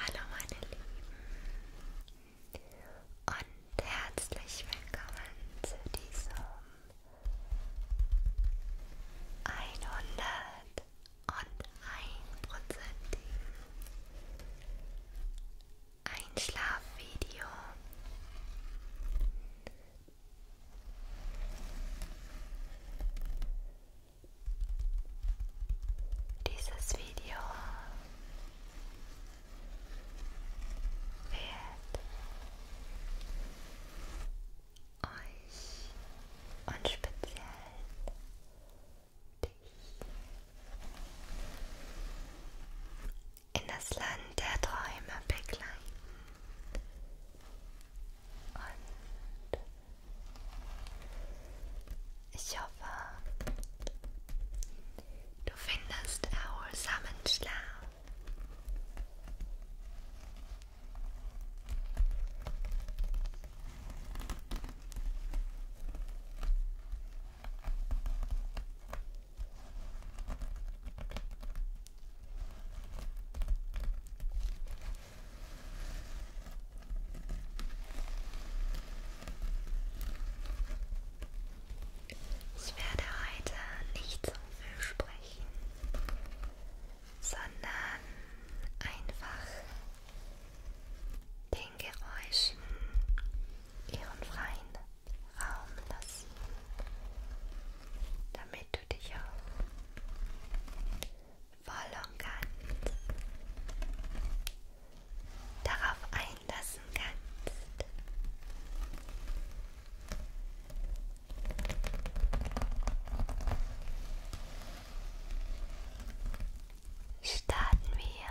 Hallo meine Lieben und herzlich willkommen zu diesem 101%igen Einschlafvideo. Dieses Video wird euch und speziell dich in das Land der Träume begleiten. Und ich hoffe, du findest erholsamen Schlaf. Ich werde heute nicht so viel sprechen, sondern einfach den Geräuschen ihren freien Raum lassen, damit wenn du dich auch voll und ganz darauf einlassen kannst. Starten wir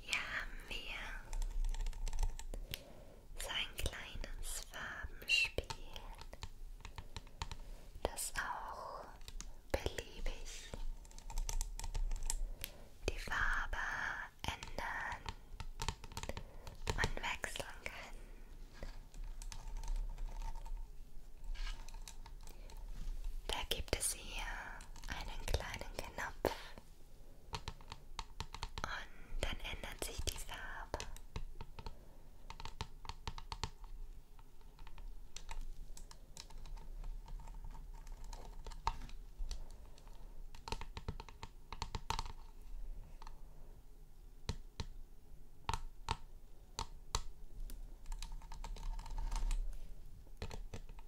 Hier haben wir so ein kleines Farbenspiel, das auch beliebig die Farbe ändern und wechseln kann. Da gibt es hier einen kleinen Knopf und dann ändert sich die Farbe.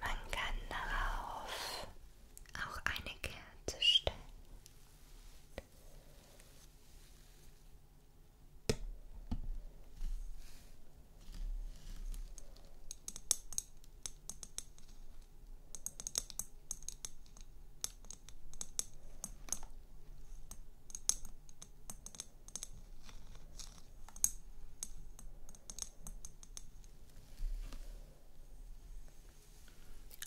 Man kann darauf auch eine Kerze stellen.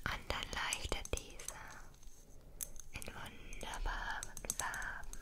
Und dann leuchtet dieser in wunderbaren Farben.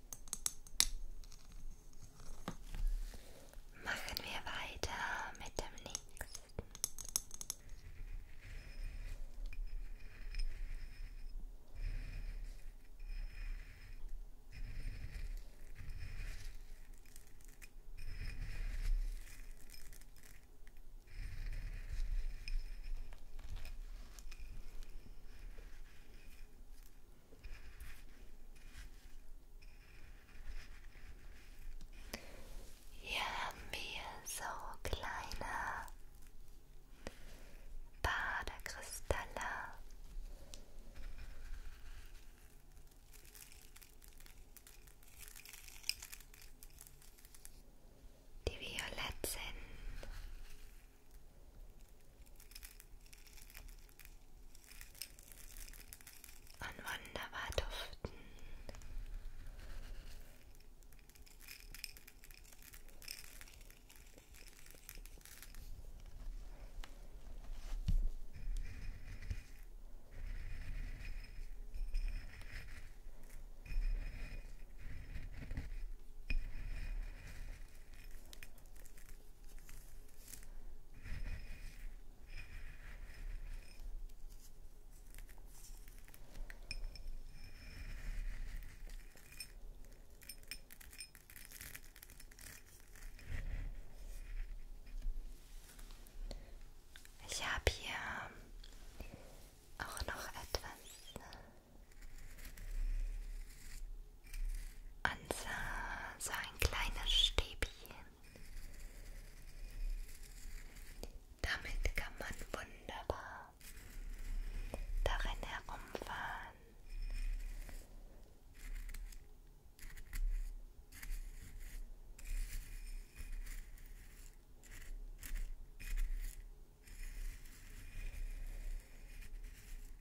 Machen wir weiter mit dem nächsten. Hier haben wir so kleine Badekristalle. Die violett Und wunderbar duften. Ich habe hier auch noch etwas und so, so ein kleines Stäbchen. Damit kann man wunderbar darin herumfahren.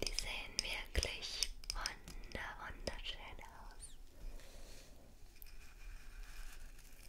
Die sehen wirklich wunder wunderschön aus.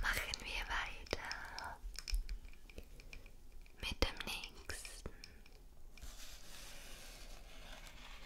Machen wir weiter mit dem nächsten.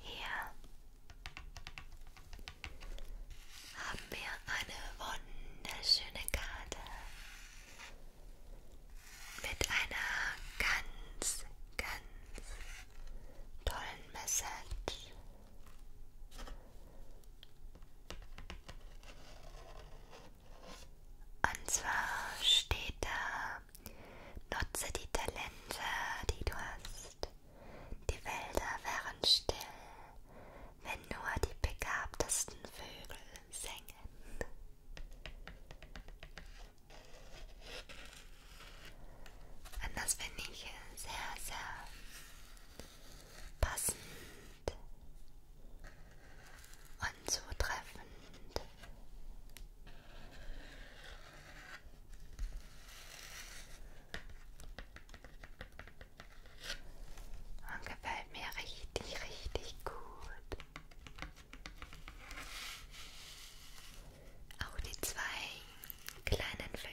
Hier haben wir eine wunderschöne Karte mit einer ganz, ganz tollen Message. Und zwar steht da, nutze die Talente, die du hast. Die Wälder wären still, wenn nur die begabtesten Vögel singen. Und das finde ich sehr, sehr passend und zutreffend. Und gefällt mir richtig, richtig gut. Auch die zwei kleinen Vögelchen.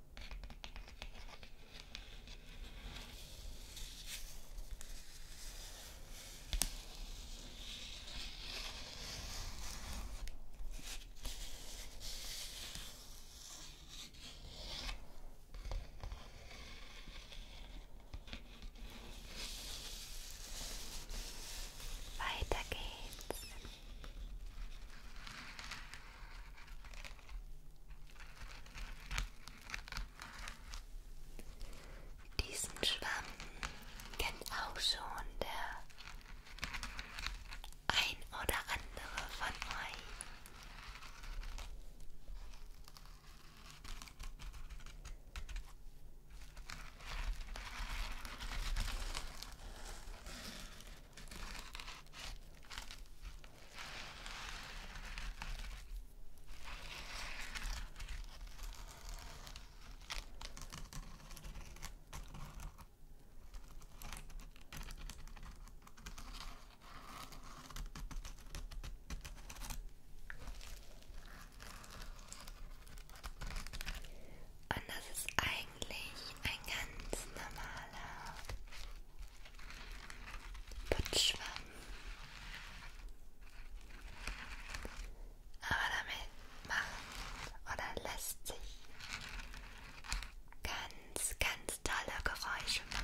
Weiter geht's diesen Schwamm kennt auch schon der ein oder andere von euch. Und das ist eigentlich eigentlich ein ganz normaler Putzschwamm. Aber damit machen oder lässt sich ganz, ganz tolle Geräusche machen.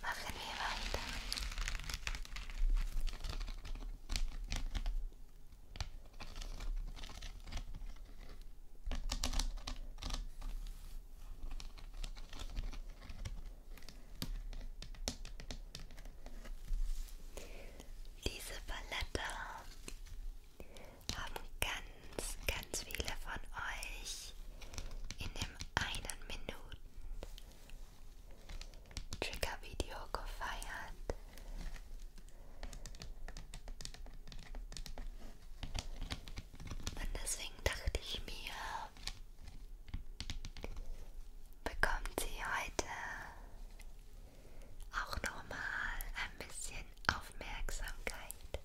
machen wir weiter. Diese Palette haben ganz ganz, ganz viele von euch in dem einen Minuten Trigger-Video gefeiert. Und deswegen dachte ich mir, bekommt sie heute auch nochmal ein bisschen Aufmerksamkeit.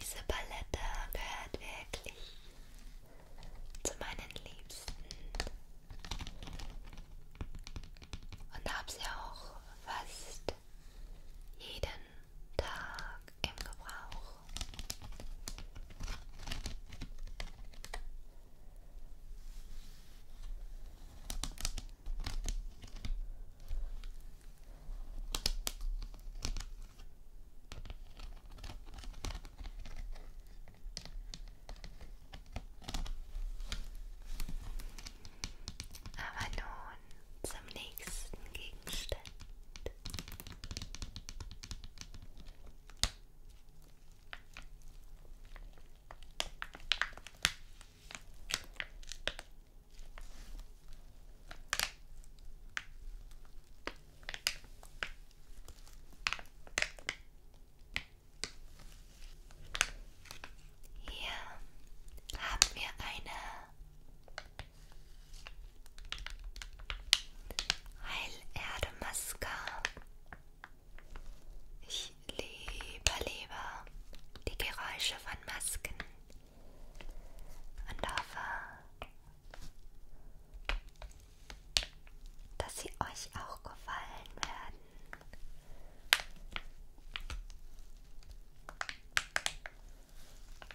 Diese Palette gehört wirklich zu meinen Liebsten und habe sie auch fast jeden Tag im Gebrauch. Aber nun und zum nächsten Gegenstand. Hier haben wir eine Heilerde Maske. Ich liebe, liebe die Geräusche von Masken und hoffe, dass sie euch auch gefallen werden.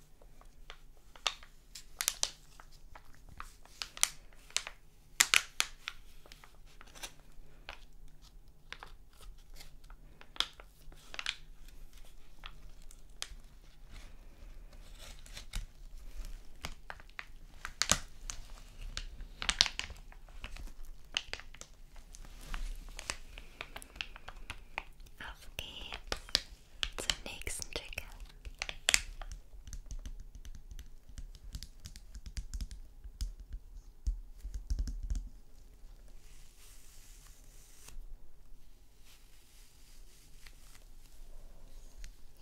Auf geht's zum nächsten Ticker.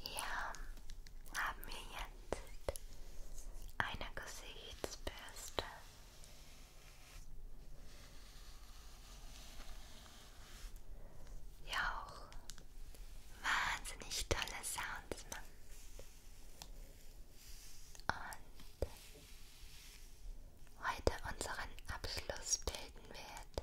Hier haben wir jetzt eine Gesichtsbürste ja auch wahnsinnig tolle Sounds macht. Und heute unseren Abschluss bilden wird.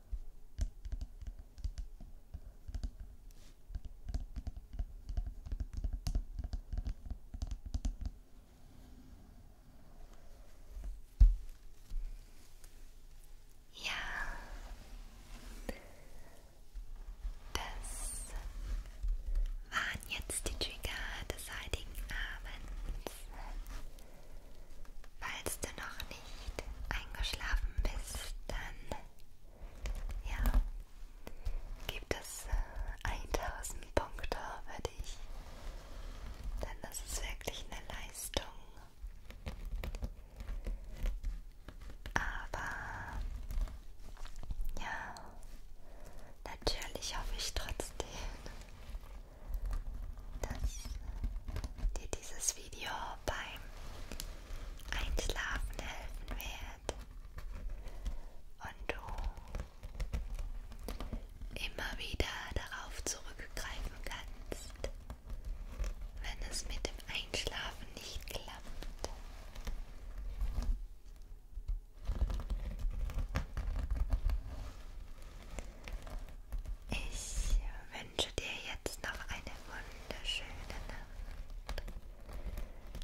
Ja, das waren jetzt die Trigger des heutigen Abends. Falls du noch nicht eingeschlafen bist, dann ja, gibt es äh, 1000 Punkte für dich. Denn das ist wirklich eine Leistung. Aber ja, natürlich hoffe ich trotzdem, dass dir dieses Video beim Einschlafen helfen wird und du immer wieder darauf zurückgreifen kannst, wenn es mit dem Einschlafen nicht klappt. Ich wünsche dir jetzt noch eine wunderschöne Nacht.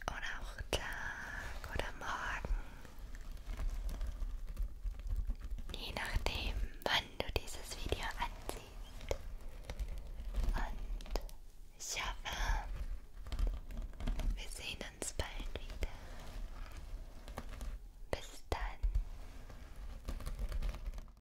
Oder auch Tag oder Morgen. Je nachdem, wann du dieses Video ansiehst. Und ich hoffe, wir sehen uns bald wieder. Bis dann.